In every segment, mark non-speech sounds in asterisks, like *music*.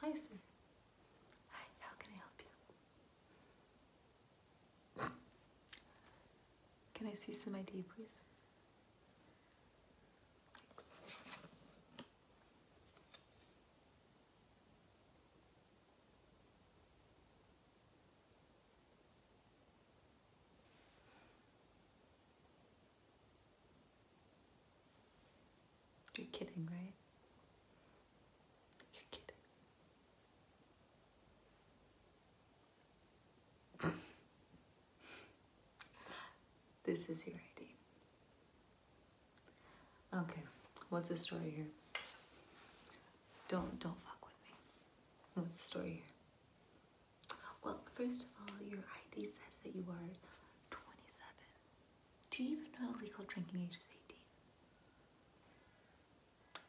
Hi, sir. Hi, how can I help you? Can I see some ID, please? Thanks. You're kidding, right? You're kidding. *laughs* this is your ID. Okay, what's the story here? Don't don't fuck with me. What's the story here? Well, first of all, your ID says that you are 27. Do you even know the legal drinking age is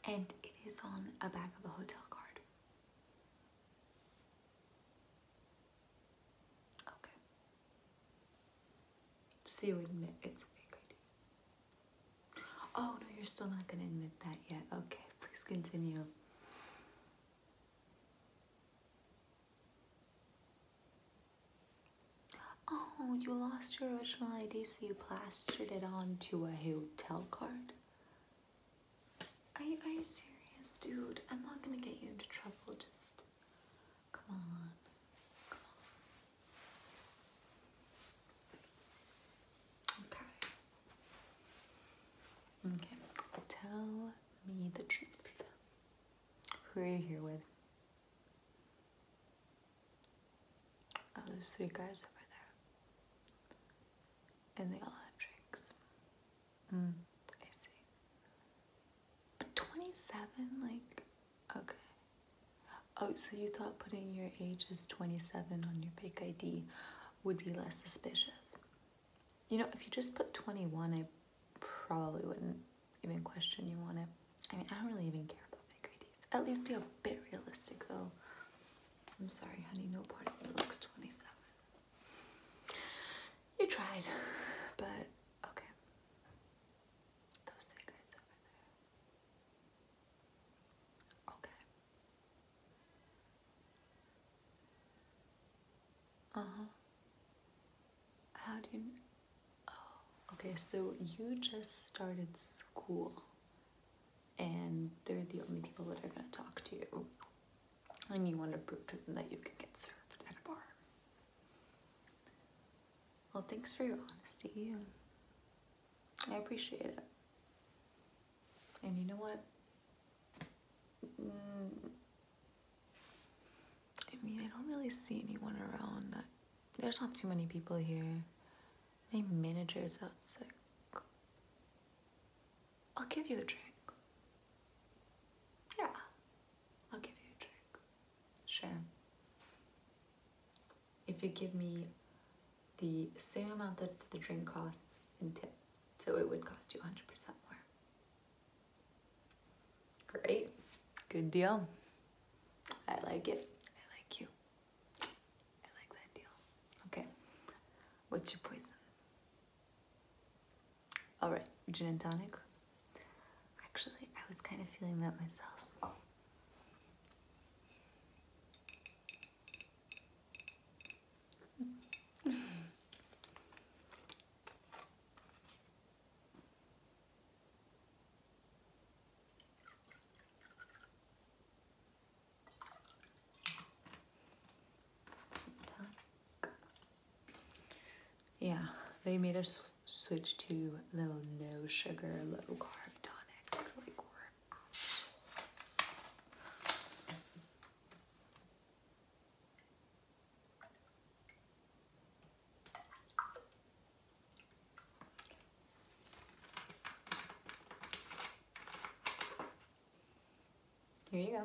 18? And it is on a back of a hotel card. Okay. So you admit it's a fake ID. Oh no, you're still not gonna admit that yet. Okay, please continue. Oh, you lost your original ID, so you plastered it onto a hotel card? Are you, are you serious, dude? I'm not gonna get you into trouble, just come on. Come on. Okay. Okay, hotel me the truth. Who are you here with? Oh, there's three guys over there. And they all have drinks. Hmm. I see. But 27? Like, okay. Oh, so you thought putting your age as 27 on your fake ID would be less suspicious. You know, if you just put 21, I probably wouldn't even question you on it. I mean, I don't really even care about big IDs. At least be a bit realistic, though. I'm sorry, honey, no part of me looks 27. You tried, but okay. Those three guys over there. Okay. Uh-huh. How do you... Oh, okay, so you just started school and they're the only people that are going to talk to you and you want to prove to them that you can get served at a bar. Well, thanks for your honesty. I appreciate it. And you know what? Mm. I mean, I don't really see anyone around. That there's not too many people here. Maybe manager's is out sick. I'll give you a drink. Yeah, I'll give you a drink. Sure. If you give me the same amount that the drink costs in tip. So it would cost you 100% more. Great. Good deal. I like it. I like you. I like that deal. Okay. What's your poison? All right, gin and tonic. Actually, I was kind of feeling that myself yeah, they made us switch to little no sugar, low carb tonic. Here you go.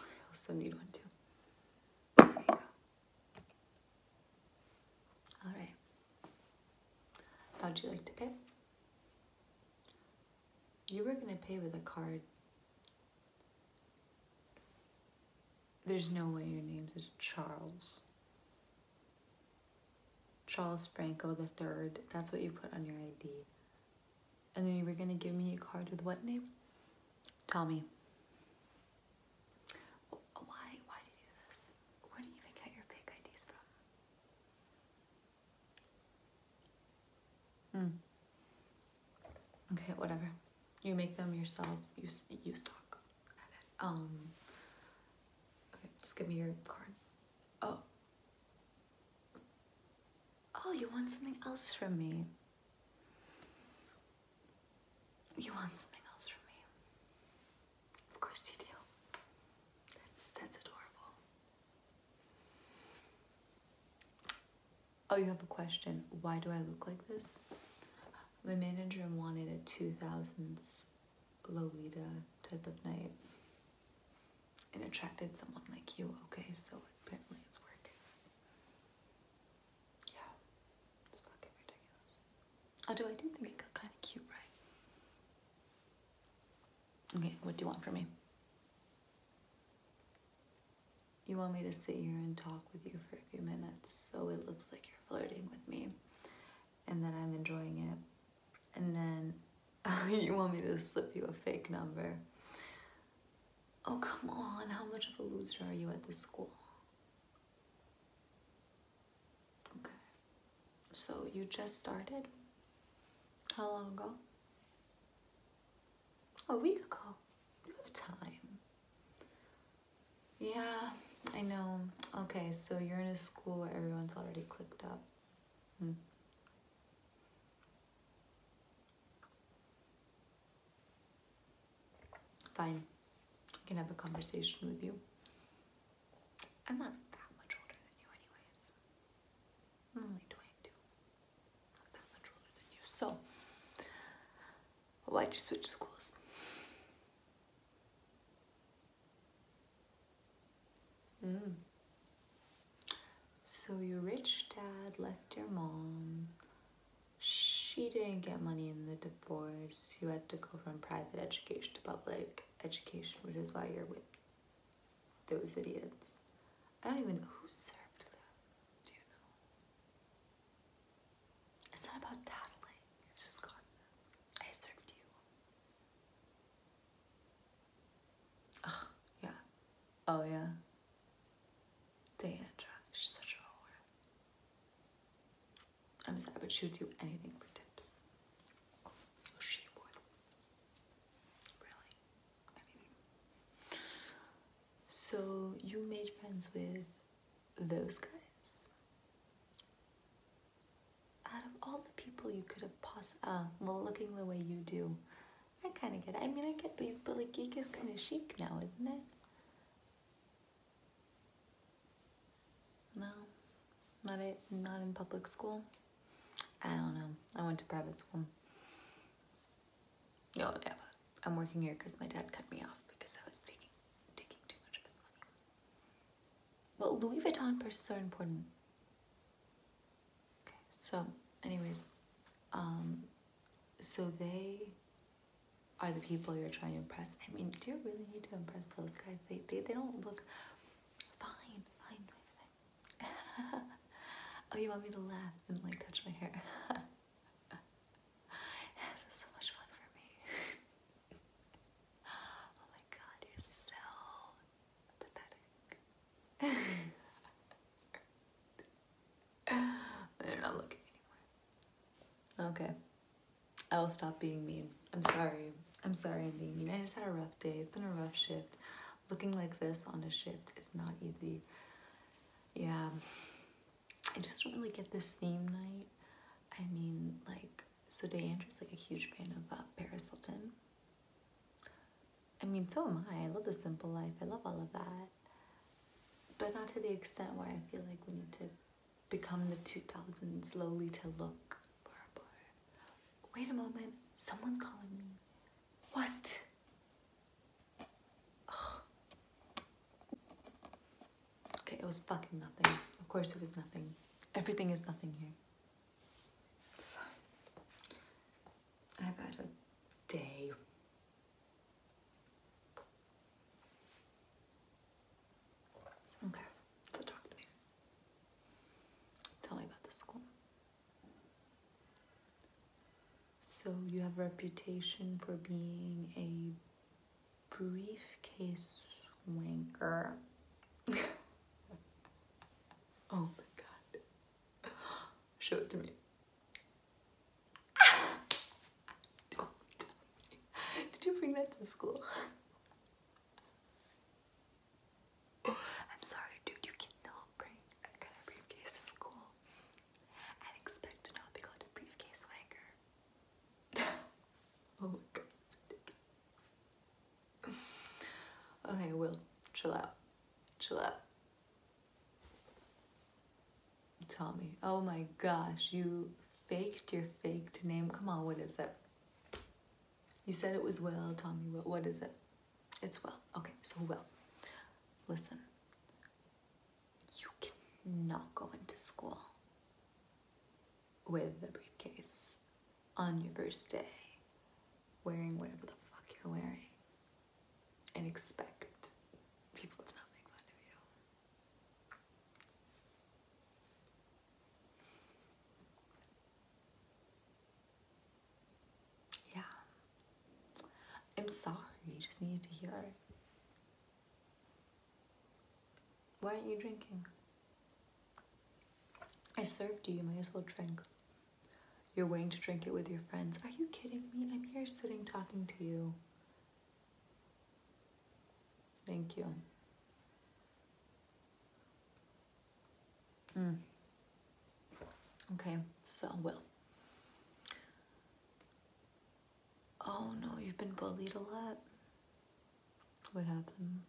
I oh, also need one too. All right. How'd you like to pay? You were going to pay with a card. There's no way your name's is Charles. Charles Franco the third. That's what you put on your ID. And then you were gonna give me a card with what name? Tommy. Why? Why do you do this? Where do you even get your fake IDs from? Mm. Okay, whatever. You make them yourselves. You you suck Um. Okay, just give me your card. Oh. Oh, you want something else from me. You want something else from me. Of course you do. That's that's adorable. Oh, you have a question. Why do I look like this? My manager wanted a 2000s Lolita type of night It attracted someone like you. Okay, so apparently it's working. Yeah, it's fucking Oh, do I do think it got kind of cute, right? Okay, what do you want from me? You want me to sit here and talk with you for a few minutes so it looks like you're flirting with me and then I'm enjoying it. And then *laughs* you want me to slip you a fake number. Oh, come on. How much of a loser are you at this school? Okay. So you just started? How long ago? A week ago. You have time. Yeah, I know. Okay, so you're in a school where everyone's already clicked up. Hmm. Fine. I can have a conversation with you. I'm not that much older than you anyways. I'm only 22. Not that much older than you. So, why'd you switch schools? Mm. So your rich dad left your mom. She didn't get money in the divorce divorce, you had to go from private education to public education, which is why you're with those idiots. I don't even know who served them. Do you know? It's not about tattling. It's just gone. I served you. Oh, yeah. Oh, yeah. Deandra, she's such a whore. I'm sorry, but she would do anything for tips. She would. Really. Anything. So you made friends with those guys? Out of all the people you could have possibly, uh, well, looking the way you do, I kind of get it. I mean, I get, but, but like, geek is kind of chic now, isn't it? No, not it. Not in public school. I don't know. I went to private school. No, yeah, I'm working here because my dad cut me off because I was taking taking too much of his money. Well, Louis Vuitton purses are important. Okay, so anyways, um, so they are the people you're trying to impress. I mean, do you really need to impress those guys? They, they, they don't look fine, fine, fine, *laughs* oh, you want me to laugh and like touch my hair? this *laughs* is so much fun for me. *laughs* oh my god, you're so pathetic. They're not looking anymore. Okay. I'll stop being mean. I'm sorry. I'm sorry I'm being mean. I just had a rough day. It's been a rough shift. Looking like this on a shift is not easy. Yeah. I just don't really get this theme night. I mean, like, so Andrew's like a huge fan of uh, Paris Hilton. I mean, so am I. I love the simple life. I love all of that. But not to the extent where I feel like we need to become the 2000 slowly to look purple. Wait a moment, someone's calling me. What? Okay, it was fucking nothing. Of course it was nothing. Everything is nothing here. I've had a day. Okay, so talk to me. Tell me about the school. So you have a reputation for being a briefcase wanker. *laughs* oh my god. Show it to me. *laughs* Did you bring that to school? I'm sorry, dude, you cannot bring a briefcase to school and expect to not be called a briefcase wanker. *laughs* oh my god, that's ridiculous. Will, chill out. Chill out. Tommy, Oh my gosh, you faked your faked name. Come on, what is it? You said it was Will. Tommy. what, what is it? It's Will. Okay, so Will, listen. You cannot go into school with the briefcase on your first day wearing whatever the fuck you're wearing and expect people to not make fun of you. Yeah. I'm sorry, you just needed to hear it. Why aren't you drinking? I served you, you might as well drink. You're waiting to drink it with your friends. Are you kidding me? I'm here sitting talking to you. Thank you. Mm. Okay, so well. Oh no, you've been bullied a lot. What happened?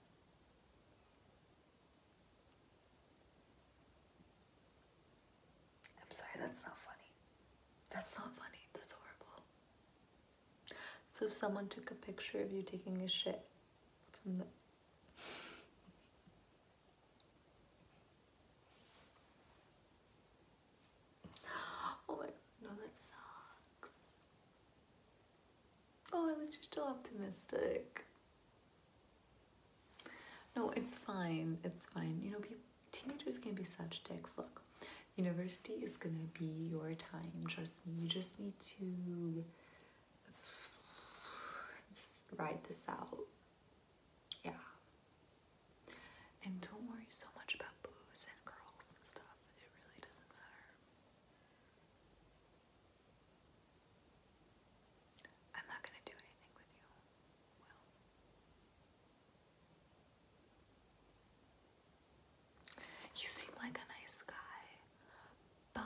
I'm sorry, that's not funny. That's not funny. That's horrible. So if someone took a picture of you taking a shit from the *gasps* Oh my god, no, that sucks. Oh, at least you're still optimistic. No, it's fine. It's fine. You know, teenagers can be such dicks. Look, university is going to be your time. Trust me. You just need to *sighs* ride this out. Yeah. And don't worry so much about booze and girls and stuff. It really doesn't matter. I'm not going to do anything with you. You seem like a nice guy, but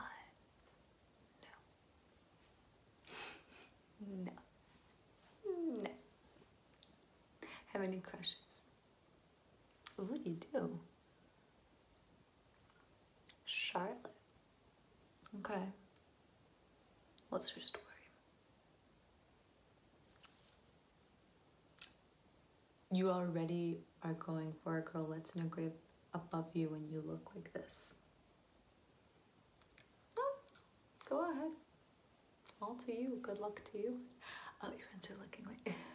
no. no. No. Have any crushes? Ooh, you do. Charlotte. Okay. What's her story? You already are going for a girl that's no grade above you when you look like this. No, go ahead. All to you. Good luck to you. Oh, your friends are looking like. *gasps*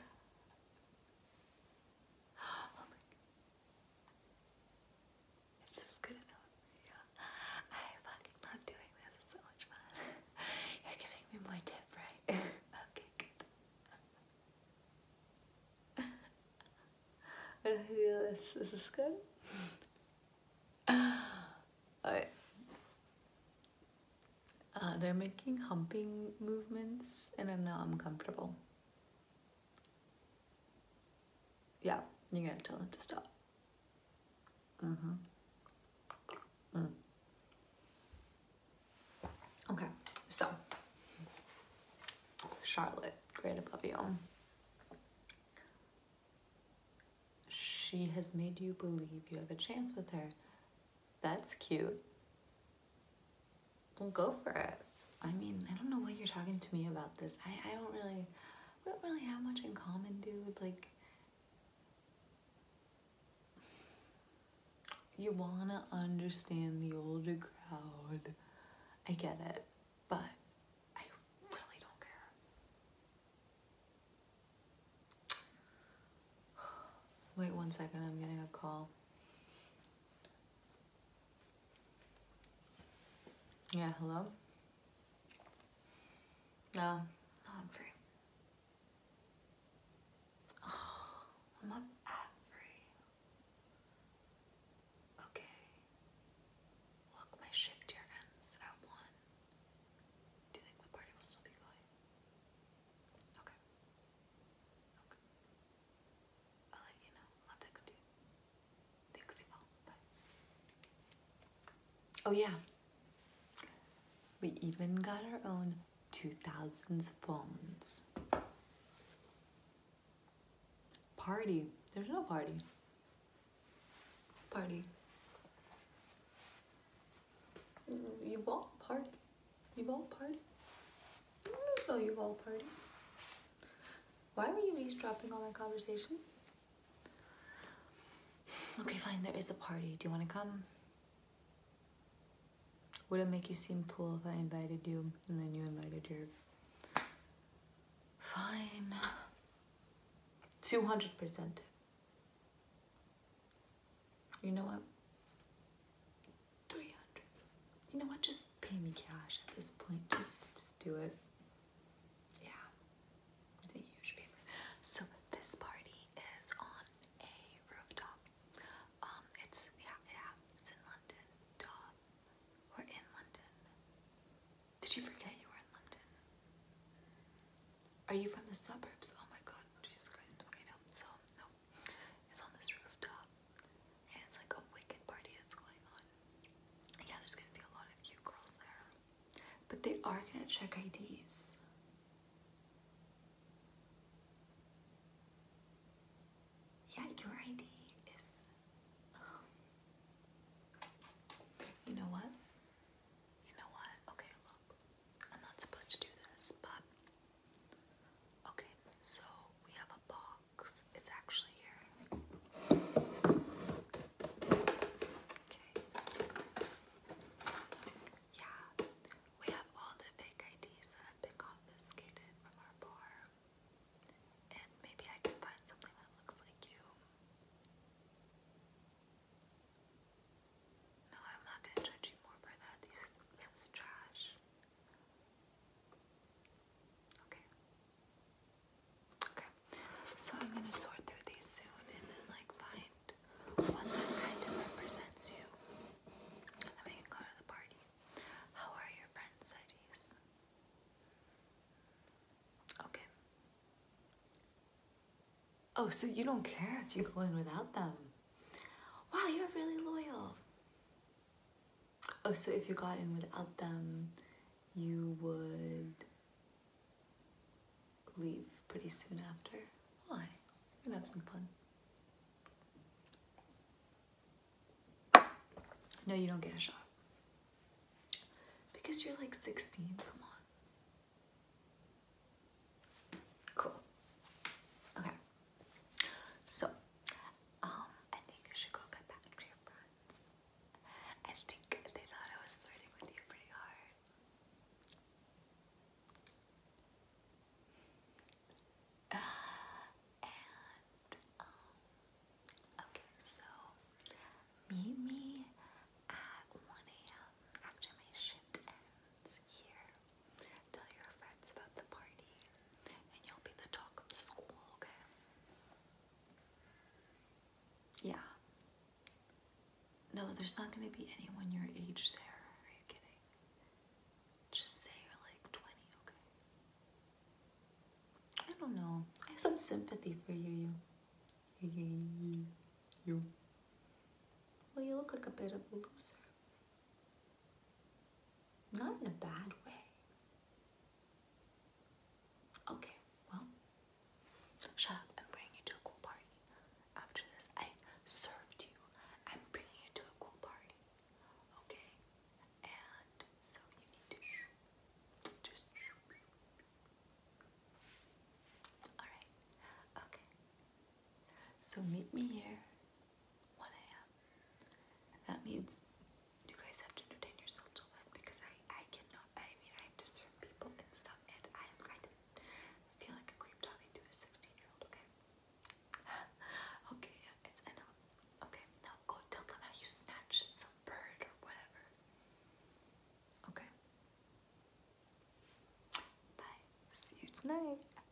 Oh is this good enough? Yeah. I fucking love doing this. It's so much fun. *laughs* You're giving me more tip, right? *laughs* okay, good. *laughs* this. Is good? *gasps* Alright. Uh, they're making humping movements and I'm now uncomfortable yeah, you gotta tell him to stop. Mm-hmm. Mm. Okay, so Charlotte, great above you. She has made you believe you have a chance with her. That's cute. go for it. I mean, I don't know why you're talking to me about this. I, I don't really, we don't really have much in common, dude. Like, you wanna understand the older crowd. I get it, but I really don't care. Wait one second, I'm getting a call. Yeah, hello? No, uh, oh, I'm free. Oh, I'm not at free. Okay. Look, my shift ends at 1. Do you think the party will still be going? Okay. Okay. I'll let you know. I'll text you. Oh yeah, we even got our own 2000s phones. Party. There's no party. Party. You've all party. You've all party. I don't know you've all party. Why were you eavesdropping on my conversation? Okay, fine, there is a party. Do you want to come? Would it make you seem cool if I invited you and then you invited your... Fine. 200%. You know what? 300. You know what? Just pay me cash at this point. Just, just do it. Yeah, it's a huge paper. So this party is on a rooftop. Um, it's yeah, yeah, it's in London. we're in London. Did you forget you were in London? Are you from the suburbs? Oh my God, Jesus Christ. Okay, no. So no, it's on this rooftop it's like a wicked party that's going on. Yeah, there's gonna be a lot of cute girls there. But they are gonna check IDs. Yeah, your ID is. Um, you know what? You know what? Okay, look. I'm not supposed to do this, but. Okay, so we have a box. It's actually here. Okay. Yeah, we have all the fake IDs that have been confiscated from our bar. And maybe I can find something that looks like you. No, I'm not gonna judge you more for that. This, this is trash. Okay. Okay. So I'm gonna sort through these soon and then like find one that kind of represents you. And then we can go to the party. How are your friends' cities? Okay. Oh, so you don't care if you go in without them. Wow, you're really loyal. Oh, so if you got in without them, you would leave pretty soon after. Why? We're gonna have some fun. No, you don't get a shot. Because you're like 16, come on. Cool. Okay. So, um, I think you should go get back to your I think they thought I was flirting with you pretty hard. And, um, okay, so meet me at 1 a.m. after my shift ends here. Tell your friends about the party, and you'll be the talk of the school, okay? Yeah. No, there's not going to be anyone your age there. Are you kidding? Just say you're like 20, okay? I don't know. I have some sympathy for you, you. You. you. Well, you look like a bit of a loser. Not in a bad way. Okay, well, shut up. I'm bringing you to a cool party. After this, I served you. I'm bringing you to a cool party. Okay? And so you need to just. Alright. Okay. So meet me here 1 a.m. That means you guys have to entertain yourself till then because I, I cannot, I mean, I have people and stuff and I I feel like a creep talking to a 16 year old, okay? *laughs* okay, yeah, it's enough. Okay, now go tell them how you snatched some bird or whatever. Okay. Bye. See you tonight.